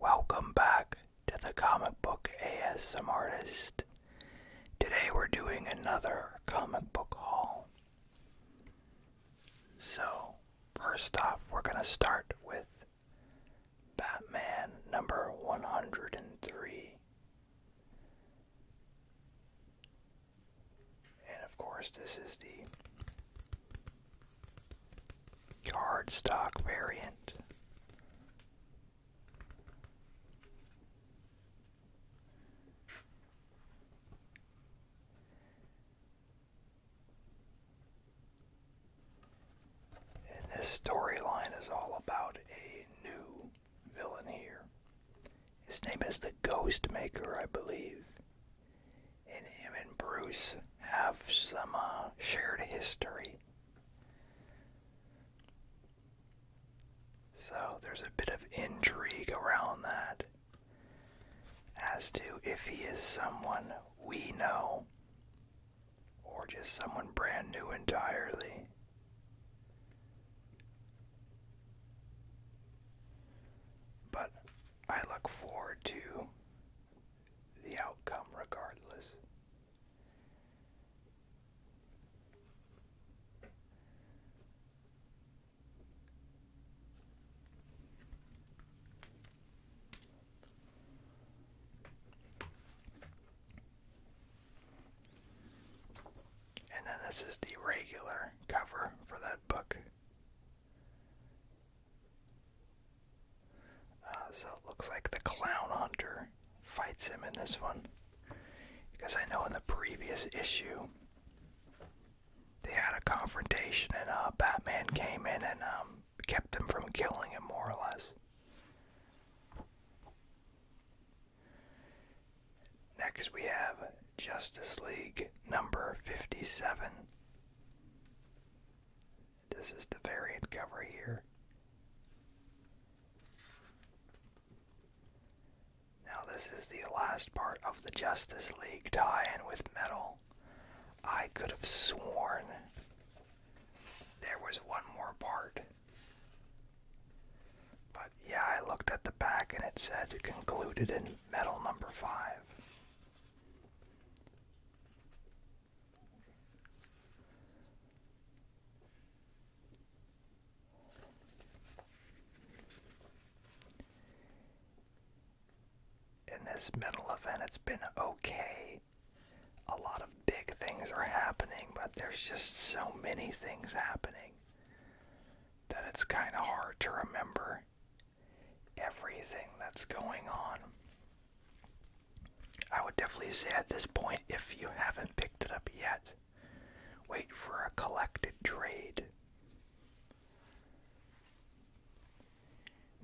Welcome back to the Comic Book ASM Artist. Today we're doing another comic book haul. So, first off, we're going to start with Batman number 103. And of course, this is the yard variant. And this storyline is all about a new villain here. His name is the Ghost Maker, I believe. And him and Bruce have some uh, shared history. So there's a bit of intrigue around that as to if he is someone we know or just someone brand new entirely. But I look forward to the outcome regardless. And then this is the regular cover for that book. Uh, so it looks like the clown hunter fights him in this one. Because I know in the previous issue they had a confrontation and uh, Batman came in and um, kept him from killing him, more or less. Next, we have Justice League number 57. This is the variant cover here. Now, this is the last part of the Justice League tie in with metal. I could have sworn there was one more part. But yeah, I looked at the back and it said concluded in metal number five. In this middle event, it's been okay. A lot of big things are happening, but there's just so many things happening that it's kind of hard to remember everything that's going on. I would definitely say at this point, if you haven't picked it up yet, wait for a collected trade.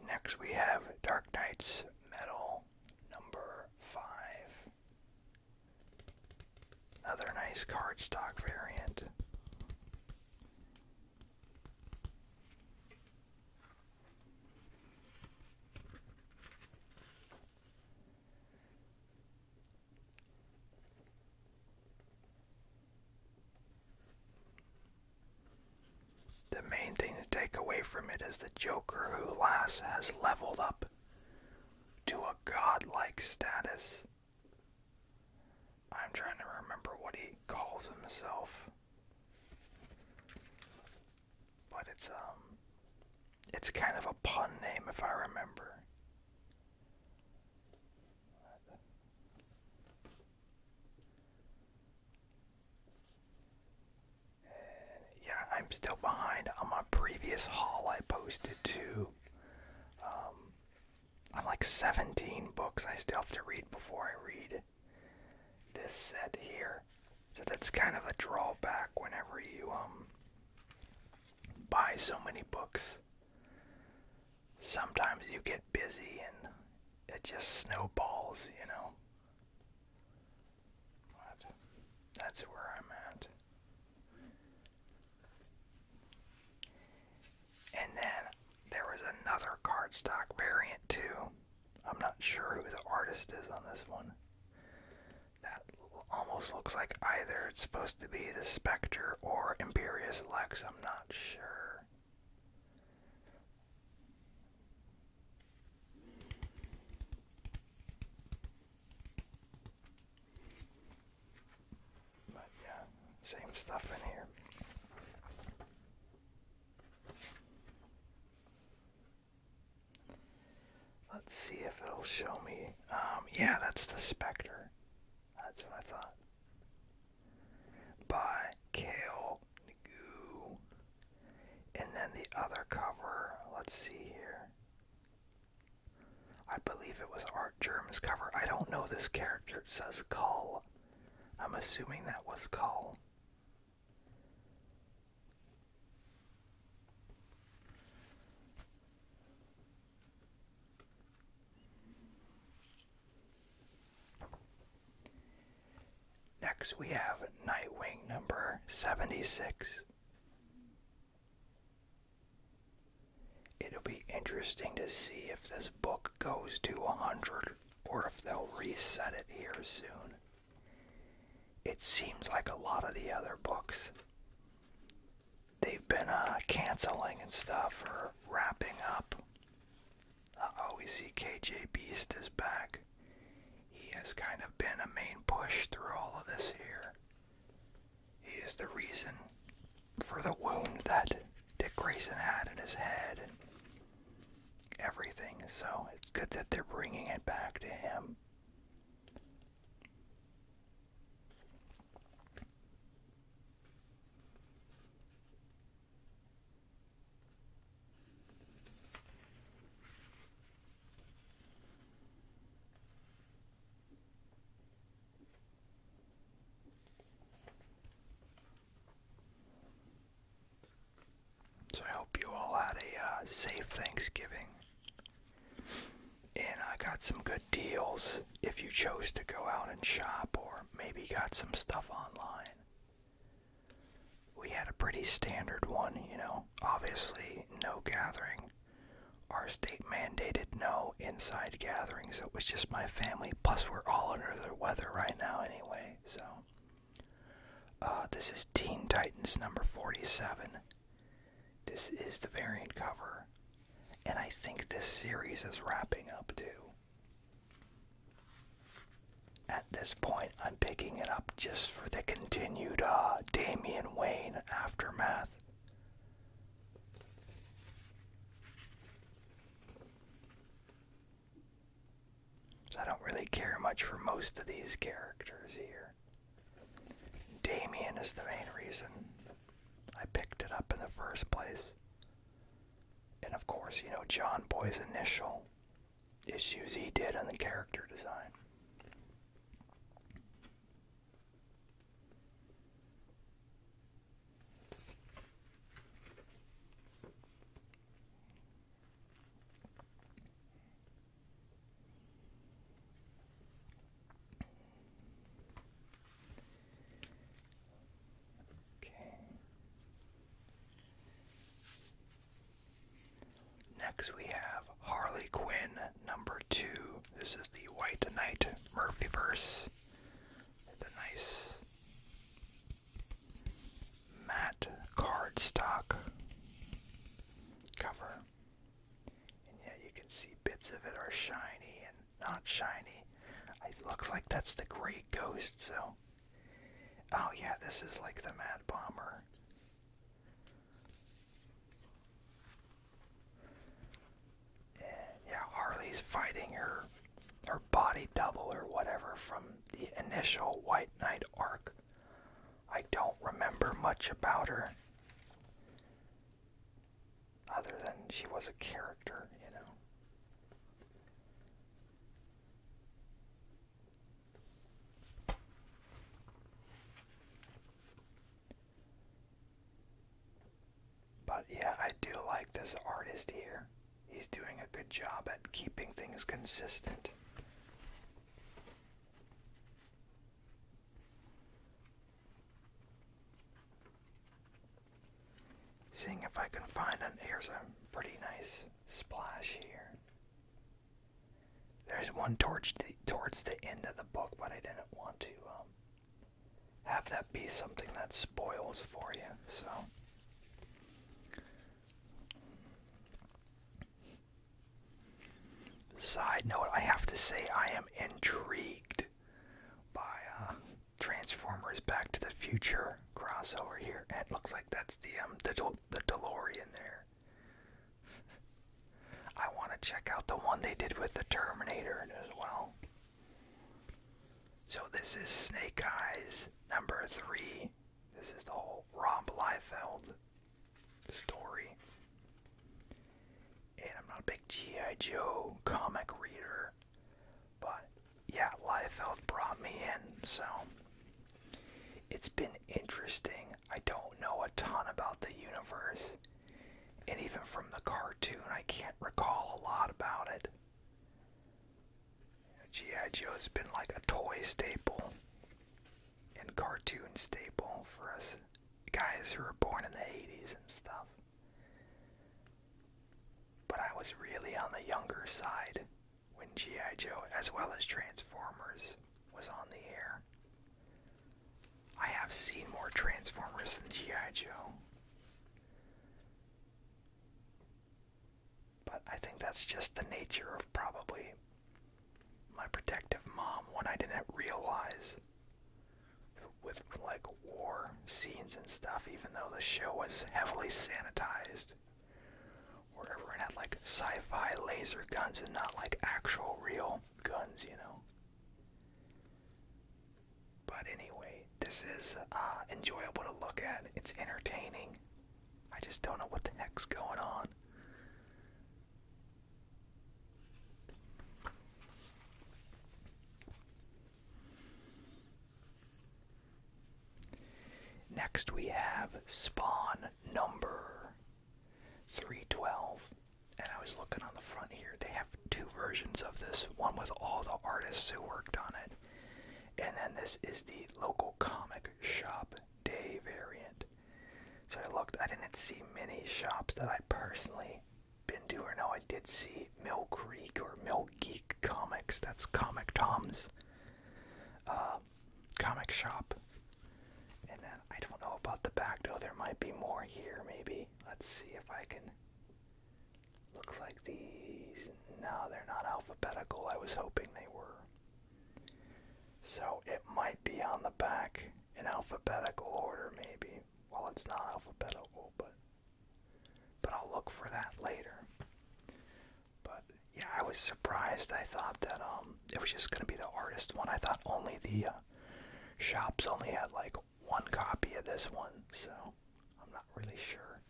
Next, we have Dark Knight's Metal number 5. Another nice cardstock variant. The main thing to take away from it is the Joker who last has leveled up to a godlike status. I'm trying to remember what he calls himself. But it's um it's kind of a pun name if I remember. yeah, I'm still behind on my previous haul I posted to um, I'm like 17 books I still have to read before I read this set here. So that's kind of a drawback whenever you um, buy so many books. Sometimes you get busy and it just snowballs, you know. But that's where I'm at. And then there was another cardstock variant too. I'm not sure who the artist is on this one. That almost looks like either it's supposed to be the Spectre or Imperious Lex. I'm not sure. But yeah, same stuff in here. Let's see if it'll show me. Um, yeah, that's the Spectre. That's what I thought. By Kale Nagu. And then the other cover, let's see here. I believe it was Art Germ's cover. I don't know this character. It says Call. I'm assuming that was Call. Next, we have Nightwing number 76. It'll be interesting to see if this book goes to 100 or if they'll reset it here soon. It seems like a lot of the other books they've been uh, canceling and stuff or wrapping up. oh, we see KJ Beast is back. He has kind of been a main push through all of this here. He is the reason for the wound that Dick Grayson had in his head everything. So it's good that they're bringing it back to him. So I hope you all had a uh, safe Thanksgiving. And I got some good deals if you chose to go out and shop or maybe got some stuff online. We had a pretty standard one, you know. Obviously, no gathering. Our state mandated no inside gatherings, so it was just my family. Plus, we're all under the weather right now anyway, so uh, this is Teen Titans number 47. This is the variant cover. And I think this series is wrapping up too. At this point, I'm picking it up just for the continued uh, Damian Wayne aftermath. I don't really care much for most of these characters here. Damien is the main reason I picked it up in the first place. And of course, you know, John Boy's initial issues he did on the character design. Okay. Next, we have Harley Quinn, number two. This is the White Knight Murphyverse. The nice matte cardstock cover. And yeah, you can see bits of it are shiny and not shiny. It looks like that's the Great Ghost, so. Oh, yeah, this is like the Mad Bomber. yeah, Harley's fighting her her body double or whatever from the initial White Knight arc. I don't remember much about her other than she was a character, you know. But yeah, I do like this artist here he's doing a good job at keeping things consistent. Seeing if I can find an here's a pretty nice splash here. There's one towards the, towards the end of the book, but I didn't want to um, have that be something that spoils for you. So Side note, I have to say I am intrigued by uh, Transformers Back to the Future crossover here. And it looks like that's the um the, the DeLorean there. I want to check out the one they did with the Terminator as well. So this is Snake Eyes number three this is the whole Rob Liefeld story. And I'm not a big G.I. Joe comic reader, but yeah, Liefeld brought me in, so it's been interesting. I don't know a ton about the universe, and even from the cartoon, I can't recall a lot about it. G.I. Joe has been like a toy staple and cartoon staple for us guys who were born in the 80s and stuff. But I was really on the younger side when G.I. Joe, as well as Transformers, was on the air. I have seen more Transformers than G.I. Joe. But I think that's just the nature of probably my protective mom, one I didn't realize with like war scenes and stuff, even though the show was heavily sanitized, where everyone had like sci fi laser guns and not like actual real guns, you know. But anyway, this is uh, enjoyable to look at, it's entertaining. I just don't know what the heck's going on. Next, we have spawn number 312. And I was looking on the front here. They have two versions of this one with all the artists who worked on it, and then this is the local comic shop day variant. So I looked, I didn't see many shops that I personally been to, or no, I did see Mill Creek or Mill Geek Comics. That's Comic Tom's uh, comic shop. And then I don't know about the back door. There might be more here, maybe. Let's see if I can Looks like these. No, they're not alphabetical. I was hoping they were. So it might be on the back in alphabetical order, maybe. Well, it's not alphabetical, but but I'll look for that later. But yeah, I was surprised. I thought that um, it was just gonna be the artist one. I thought only the uh, shops only had like one copy of this one, so I'm not really sure.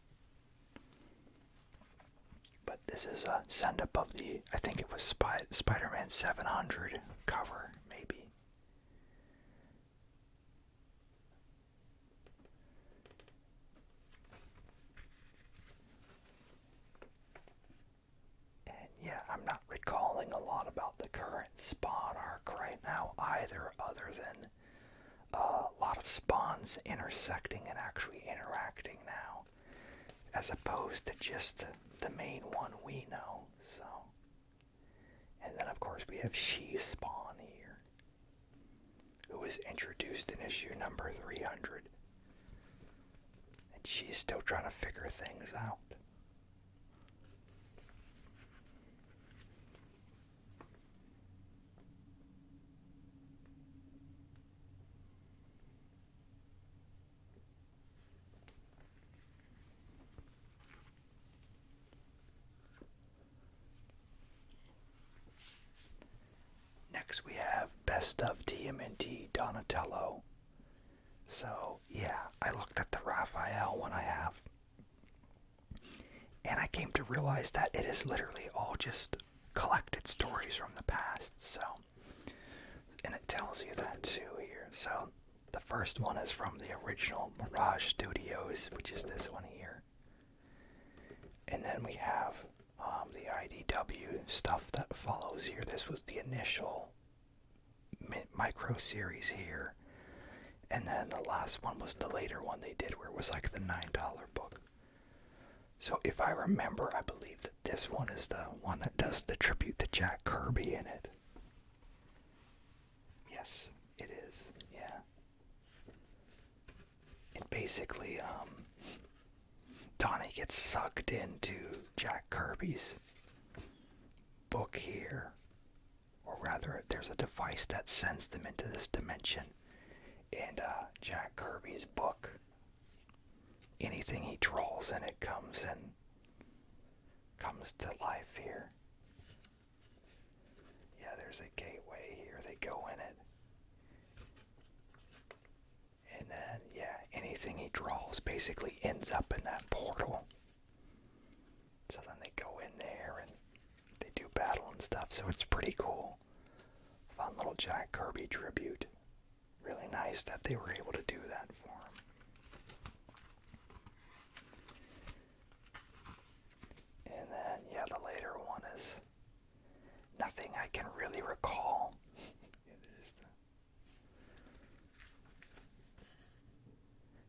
But this is a send up of the, I think it was Spider Man 700 cover, maybe. And yeah, I'm not recalling a lot about the current Spawn arc right now either, other than a lot of spawns intersecting and actually interacting now, as opposed to just the main one we know. So, and then of course we have she spawn here, who was introduced in issue number 300, and she's still trying to figure things out. Next, we have Best of TMNT Donatello. So, yeah, I looked at the Raphael one I have, and I came to realize that it is literally all just collected stories from the past. So, and it tells you that too here. So, the first one is from the original Mirage Studios, which is this one here. And then we have um, the IDW stuff that follows here. This was the initial micro series here. And then the last one was the later one they did where it was like the $9 book. So if I remember, I believe that this one is the one that does the tribute to Jack Kirby in it. Yes, it is. Yeah. It basically, um, Donnie gets sucked into Jack Kirby's book here. Or rather, there's a device that sends them into this dimension and uh, Jack Kirby's book. Anything he draws and it comes and comes to life here. Yeah, there's a gateway here. They go in it. And then, yeah, anything he draws basically ends up in that portal. So then they go in there and they do battle and stuff, so it's pretty cool. Fun little Jack Kirby tribute. Really nice that they were able to do that for him. And then, yeah, the later one is nothing I can really recall.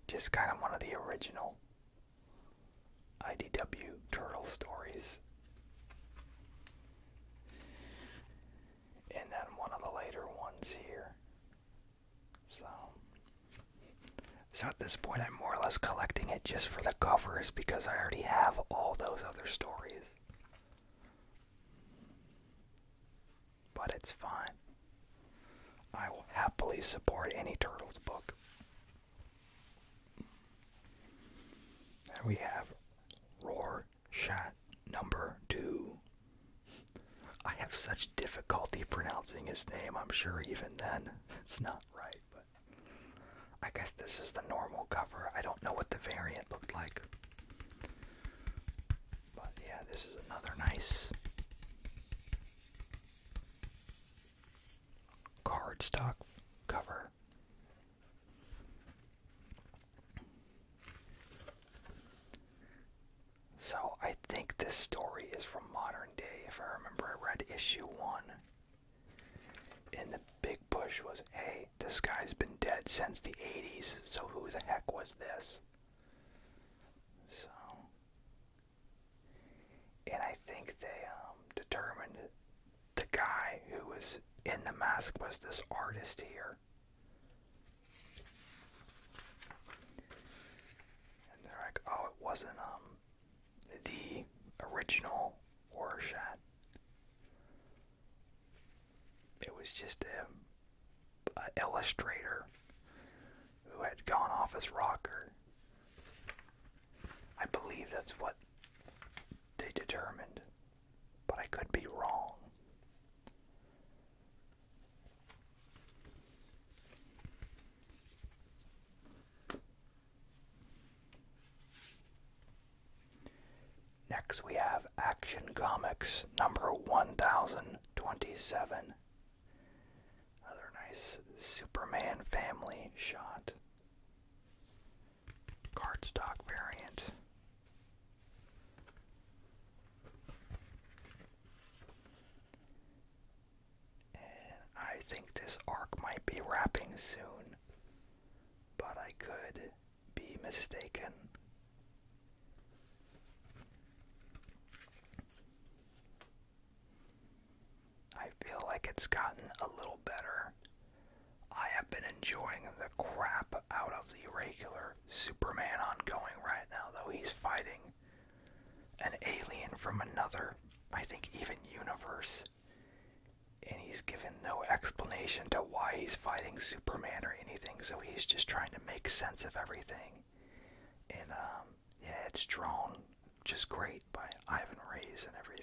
Just kind of one of the original IDW Turtle Stories. And then one of the later ones here. So, so at this point, I'm more or less collecting it just for the covers because I already have all those other stories. But it's fine. I will happily support any Turtles book. And we have Roar Shot number two. I have such difficulty pronouncing his name, I'm sure even then it's not right, but I guess this is the normal cover. I don't know what the variant looked like. But yeah, this is another nice cardstock cover. So I think this story is from modern day, if I remember I read issue one. And the big push was, hey, this guy's been dead since the 80s, so who the heck was this? So and I think they um, determined the guy who was in the mask was this artist here. And they're like, oh, it wasn't um the original Rorschach. It was just a, a illustrator who had gone off his rocker. I believe that's what they determined, but I could be wrong. Next, we have Action Comics number 1027. Another nice Superman family shot cardstock variant. I think this arc might be wrapping soon, but I could be mistaken. I feel like it's gotten a little better. I have been enjoying the crap out of the regular Superman ongoing right now, though he's fighting an alien from another, I think, even universe. And he's given no explanation to why he's fighting Superman or anything, so he's just trying to make sense of everything. And, um, yeah, it's drawn just great by Ivan Reis and everything.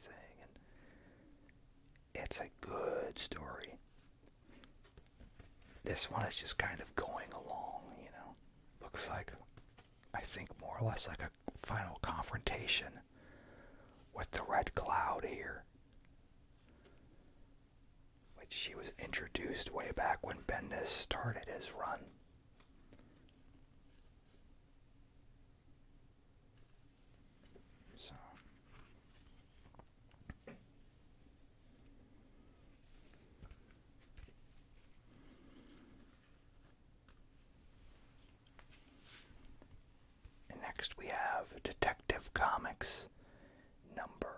it's a good story. This one is just kind of going along, you know. Looks like, I think, more or less like a final confrontation with the Red Cloud here. Which she was introduced way back when Bendis started his run. So next we have Detective Comics number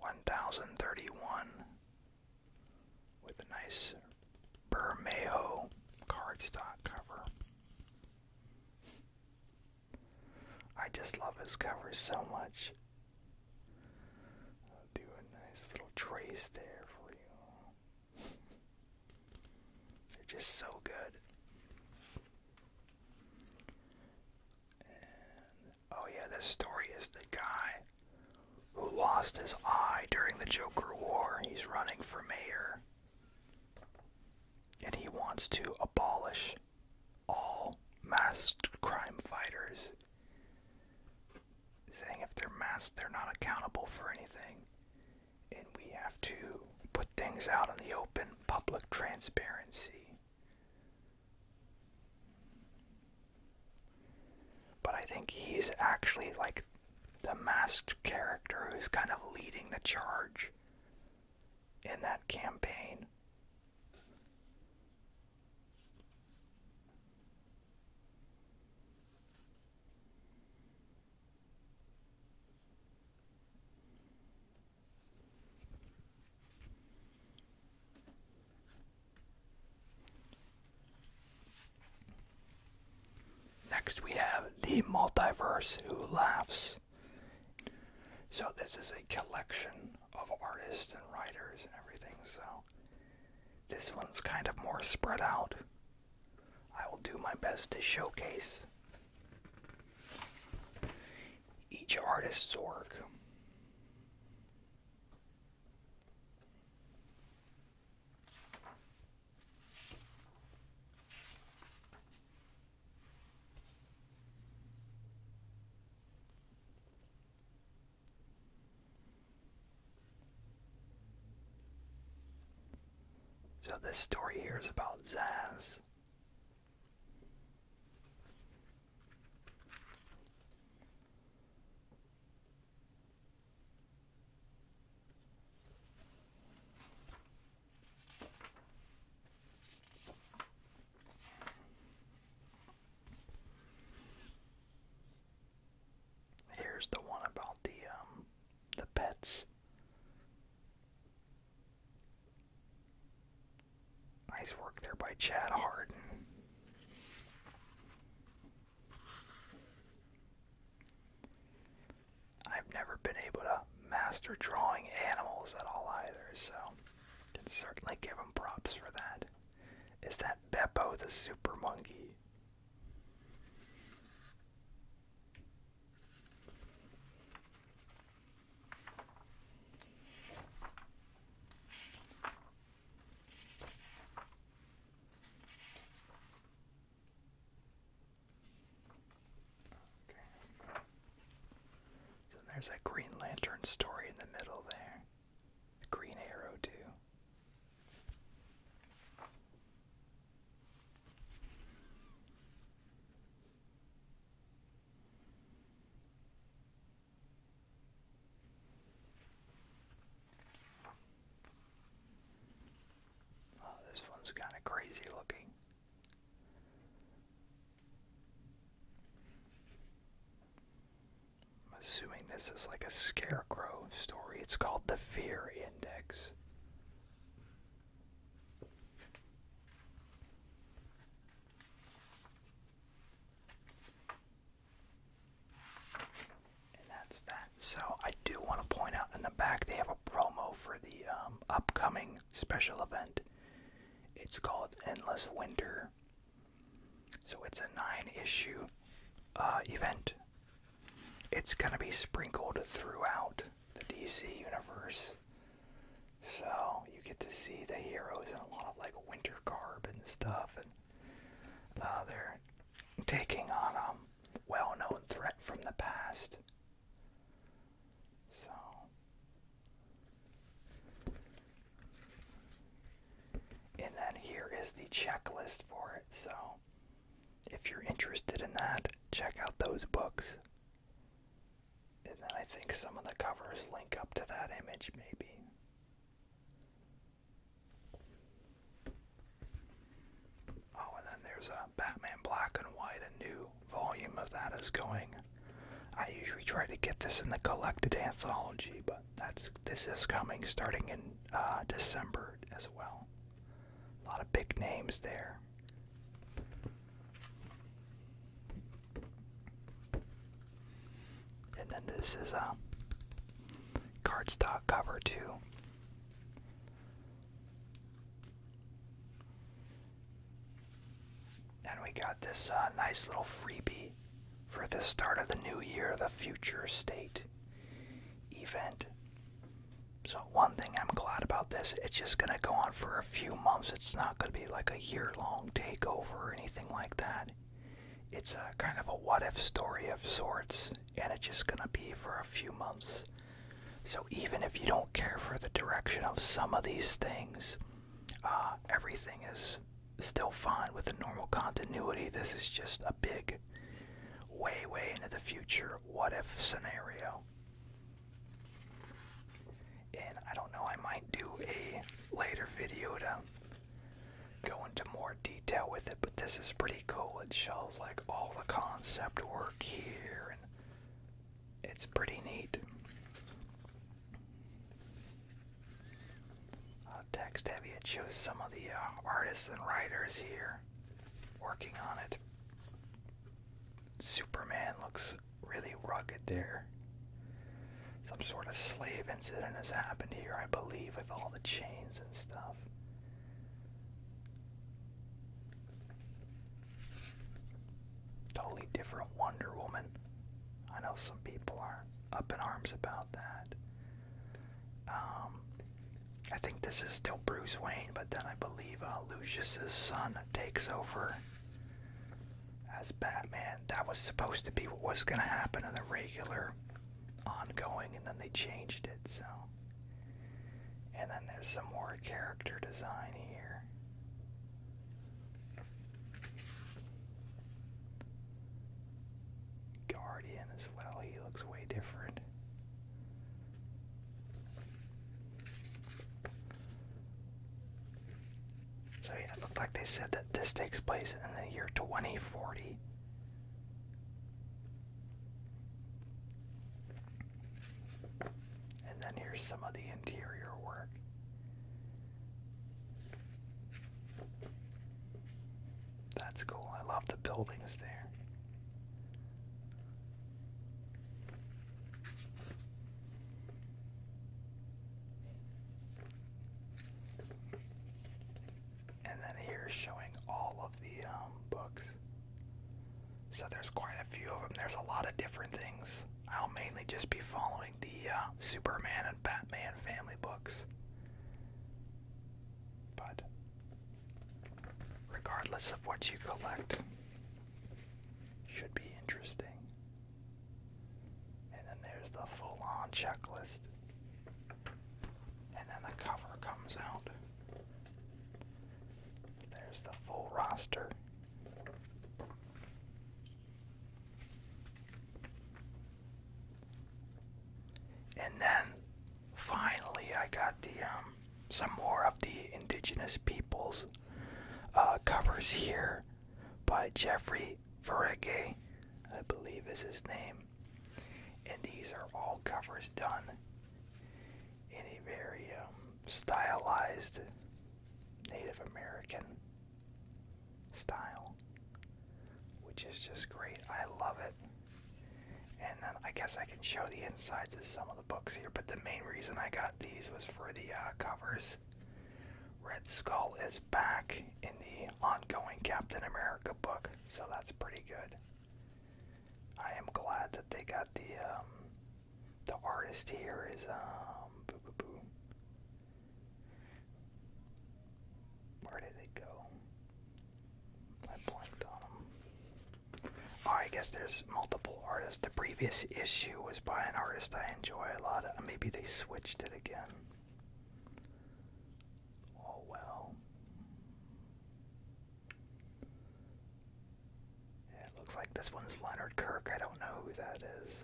1031 with a nice Bermejo cardstock cover. I just love his cover so much. I'll do a nice little trace there for you. They're just so good. oh yeah, this story is the guy who lost his eye during the Joker War. He's running for mayor. And he wants to abolish all masked crime fighters, saying if they're masked, they're not accountable for anything. And we have to put things out in the open, public transparency. But I think he's actually like the masked character who's kind of leading the charge in that campaign. Next, we have The Multiverse Who Laughs. So, this is a collection of artists and writers and everything. So, this one's kind of more spread out. I will do my best to showcase each artist's work. So, this story here is about Zaz. Here's the one about the um, the pets. Nice work there by Chad Harden. I've never been able to master drawing animals at all either, so can certainly give him props for that. Is that Beppo the super monkey? So there's that Green Lantern story in the middle there. Green Arrow, too. Oh, this one's kind of crazy looking. assuming this is like a scarecrow story. It's called The Fear Index and that's that. So I do want to point out in the back they have a promo for the um, upcoming special event. It's called Endless Winter. So it's a nine-issue uh, event. It's gonna be sprinkled throughout the DC universe. So you get to see the heroes in a lot of like winter garb and stuff, and uh, they're taking on a well known threat from the past. So. And then here is the checklist for it. So, if you're interested in that, check out those books. And then I think some of the covers link up to that image, maybe. Oh, and then there's a uh, Batman Black and White. A new volume of that is going. I usually try to get this in the collected anthology, but that's this is coming starting in uh, December as well. A lot of big names there. And then this is a uh, cardstock cover too. And we got this uh, nice little freebie for the start of the new year, the future state event. So, one thing I'm glad about this, it's just going to go on for a few months. It's not going to be like a year long takeover or anything like that. It's a kind of a what if story of sorts and it's just going to be for a few months. So even if you don't care for the direction of some of these things, uh, everything is still fine with the normal continuity. This is just a big, way, way into the future, what if scenario. And I don't know, I might do a later video to go into more detail with it, but this is pretty cool. It shows like all the concept work here, and it's pretty neat. Uh, text heavy, it shows some of the uh, artists and writers here working on it. Superman looks really rugged there. Some sort of slave incident has happened here, I believe, with all the chains and stuff. Totally different Wonder Woman. I know some people are up in arms about that. Um, I think this is still Bruce Wayne, but then I believe uh, Lucius's son takes over as Batman. That was supposed to be what was going to happen in the regular ongoing and then they changed it so and then there's some more character design here guardian as well he looks way different so yeah it looked like they said that this takes place in the year 2040 and then here's some of the interior work. That's cool. I love the buildings there and then here's showing all of the um, books. So there's quite a few of them. There's a lot of different things. I'll mainly just be following the uh, Superman and Batman family books. But regardless of what you collect, should be interesting. And then there's the full on checklist. And then the cover comes out. There's the full roster. And then finally, I got the um, some more of the indigenous peoples uh, covers here by Jeffrey Verege, I believe is his name. And these are all covers done in a very um, stylized Native American style, which is just great. I love it. And then I guess I can show the insides of some of the books here, but the main reason I got these was for the uh, covers. Red Skull is back in the ongoing Captain America book, so that's pretty good. I am glad that they got the um, the artist here is um Where did it go? I blanked on them. Oh, I guess there's multiple artists. The previous issue was by an artist I enjoy a lot. Uh, maybe they switched it again. Oh well it looks like this one's Leonard Kirk. I don't know who that is.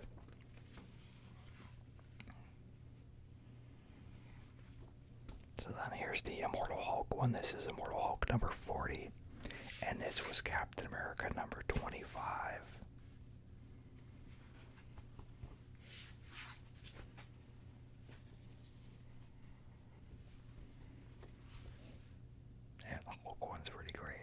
So then here's the Immortal Hulk one. This is Immortal Hulk number 40. And this was Captain America number 25. Yeah, the Hulk one's pretty great.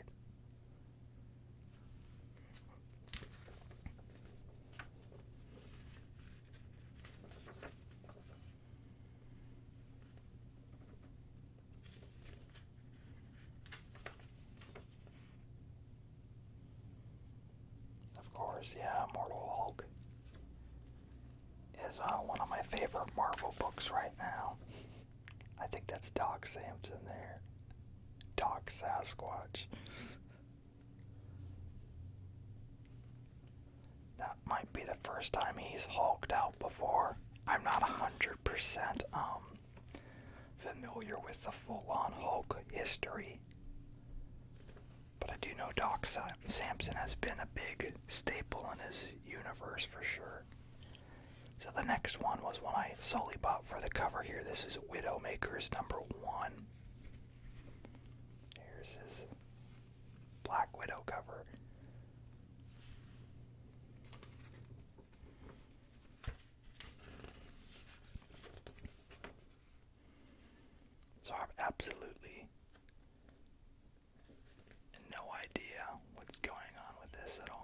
Of course, yeah, Mortal Hulk is uh, one of my favorite Marvel books right now. I think that's Doc Samson there. Doc Sasquatch. That might be the first time he's hulked out before. I'm not 100% um, familiar with the full on Hulk history. But I do know Doc Sampson has been a big staple in his universe for sure. So the next one was one I solely bought for the cover here. This is Widowmaker's number one. Here's his Black Widow cover. So I have absolutely no idea what's going on with this at all.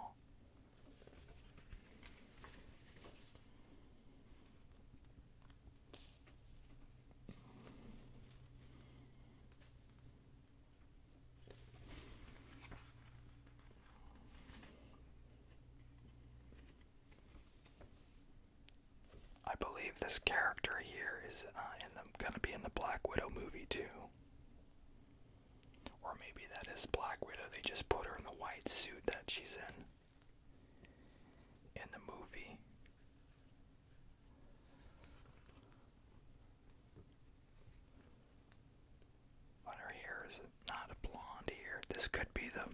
I believe this character here is uh, gonna be in the Black Widow movie too. Or maybe that is Black Widow. They just put her in the white suit that she's in in the movie. But her hair is not a blonde here. This could be the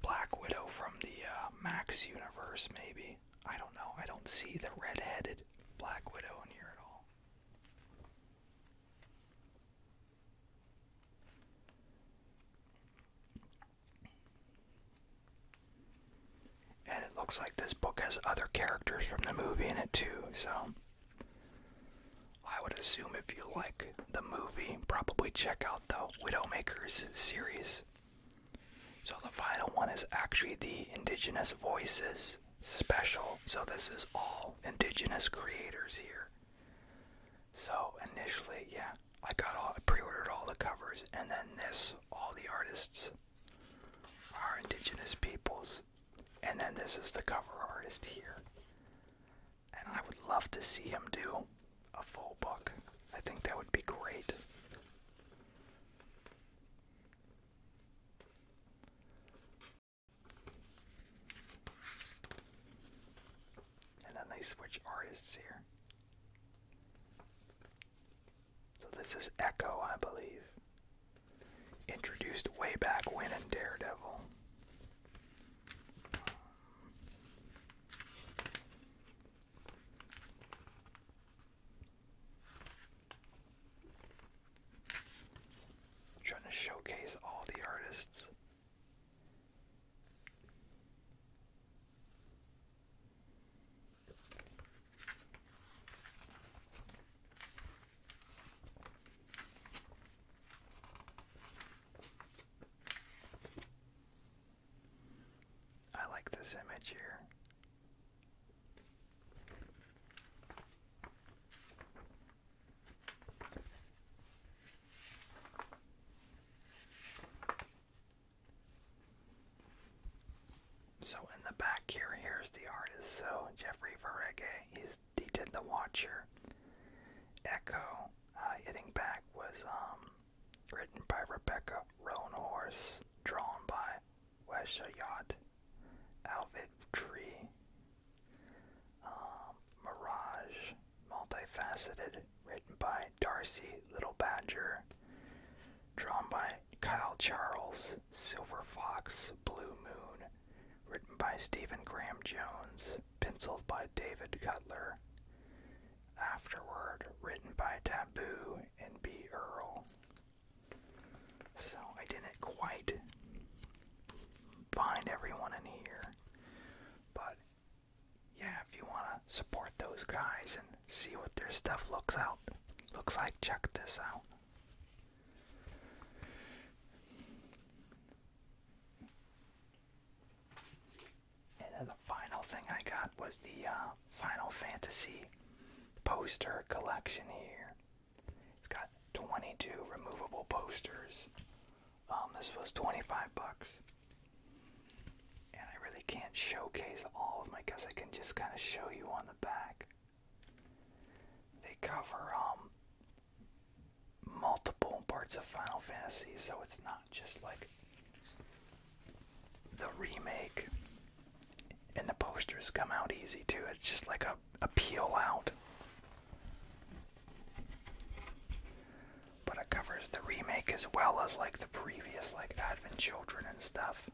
Black Widow from the uh, Max universe, maybe. I don't know. I don't see the red-headed Black Widow in here at all. And it looks like this book has other characters from the movie in it too, so I would assume if you like the movie, probably check out the Widowmakers series. So the final one is actually the Indigenous Voices special. So this is all Indigenous creators here. So initially, yeah, I got all, I pre-ordered all the covers, and then this, all the artists are Indigenous peoples, and then this is the cover artist here. And I would love to see him do a full book. I think that would be great. And then they switch artists here. So this is Echo, I believe. Introduced way back when in Daredevil. Trying to showcase all the artists. I like this image here. So in the back here, here's the artist. So Jeffrey Verege, he did The Watcher. Echo, uh, hitting back was um written by Rebecca Roanhorse, drawn by Wesha Yacht, Alvid Tree, um, Mirage, Multifaceted, written by Darcy Little Badger, drawn by Kyle Charles, Silver Fox, Blue Moon, written by Stephen Graham Jones, penciled by David Cutler, Afterward, written by Taboo and B. Earl. So I didn't quite find everyone in here, but yeah, if you want to support those guys and see what their stuff looks out looks like, check this out. And then the final thing I got was the uh, Final Fantasy poster collection here. It's got 22 removable posters. Um, this was 25 bucks. And I really can't showcase all of them. I guess I can just kind of show you on the back. They cover um, multiple parts of Final Fantasy, so it's not just like the remake and the posters come out easy too. It's just like a, a peel out. But it covers the remake as well as like the previous like Advent Children and stuff.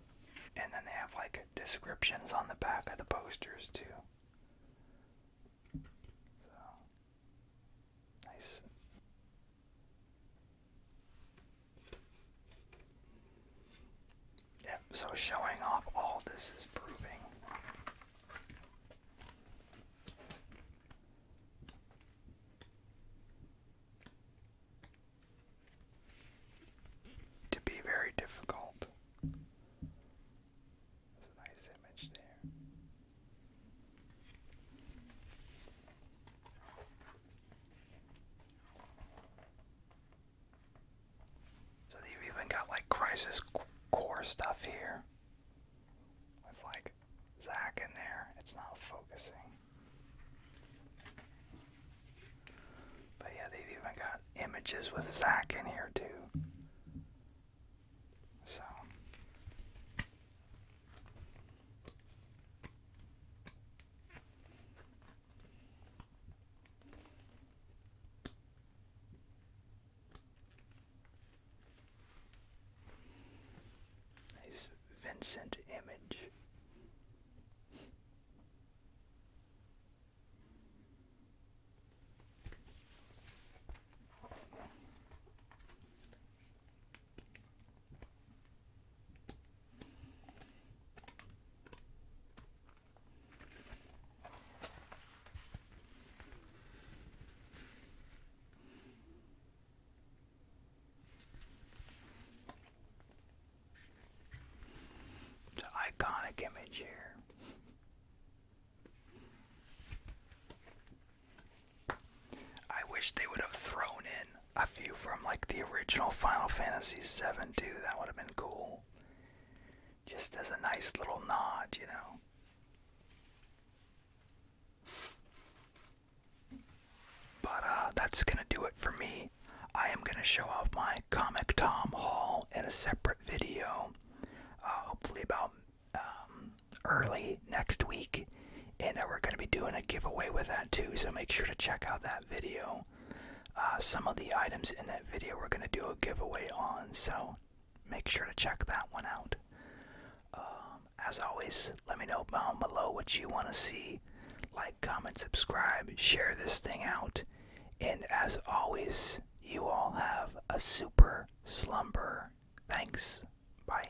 And then they have like descriptions on the back of the posters too. So nice Yep, so showing off all this is proving. To be very difficult. That's a nice image there. So they've even got like Crisis Core stuff here. With like Zack in there. It's not focusing. But yeah, they've even got images with Zack in here too. So. Nice Vincent image iconic image here. I wish they would have thrown in a few from like the original Final Fantasy VII too. That would have been cool. Just as a nice little nod, you know. But uh, that's gonna do it for me. I am gonna show off my Comic Tom Hall in a separate video, uh, hopefully about um, early next week and that we're going to be doing a giveaway with that too so make sure to check out that video uh, some of the items in that video we're going to do a giveaway on so make sure to check that one out um, as always let me know down below what you want to see like comment subscribe share this thing out and as always you all have a super slumber thanks bye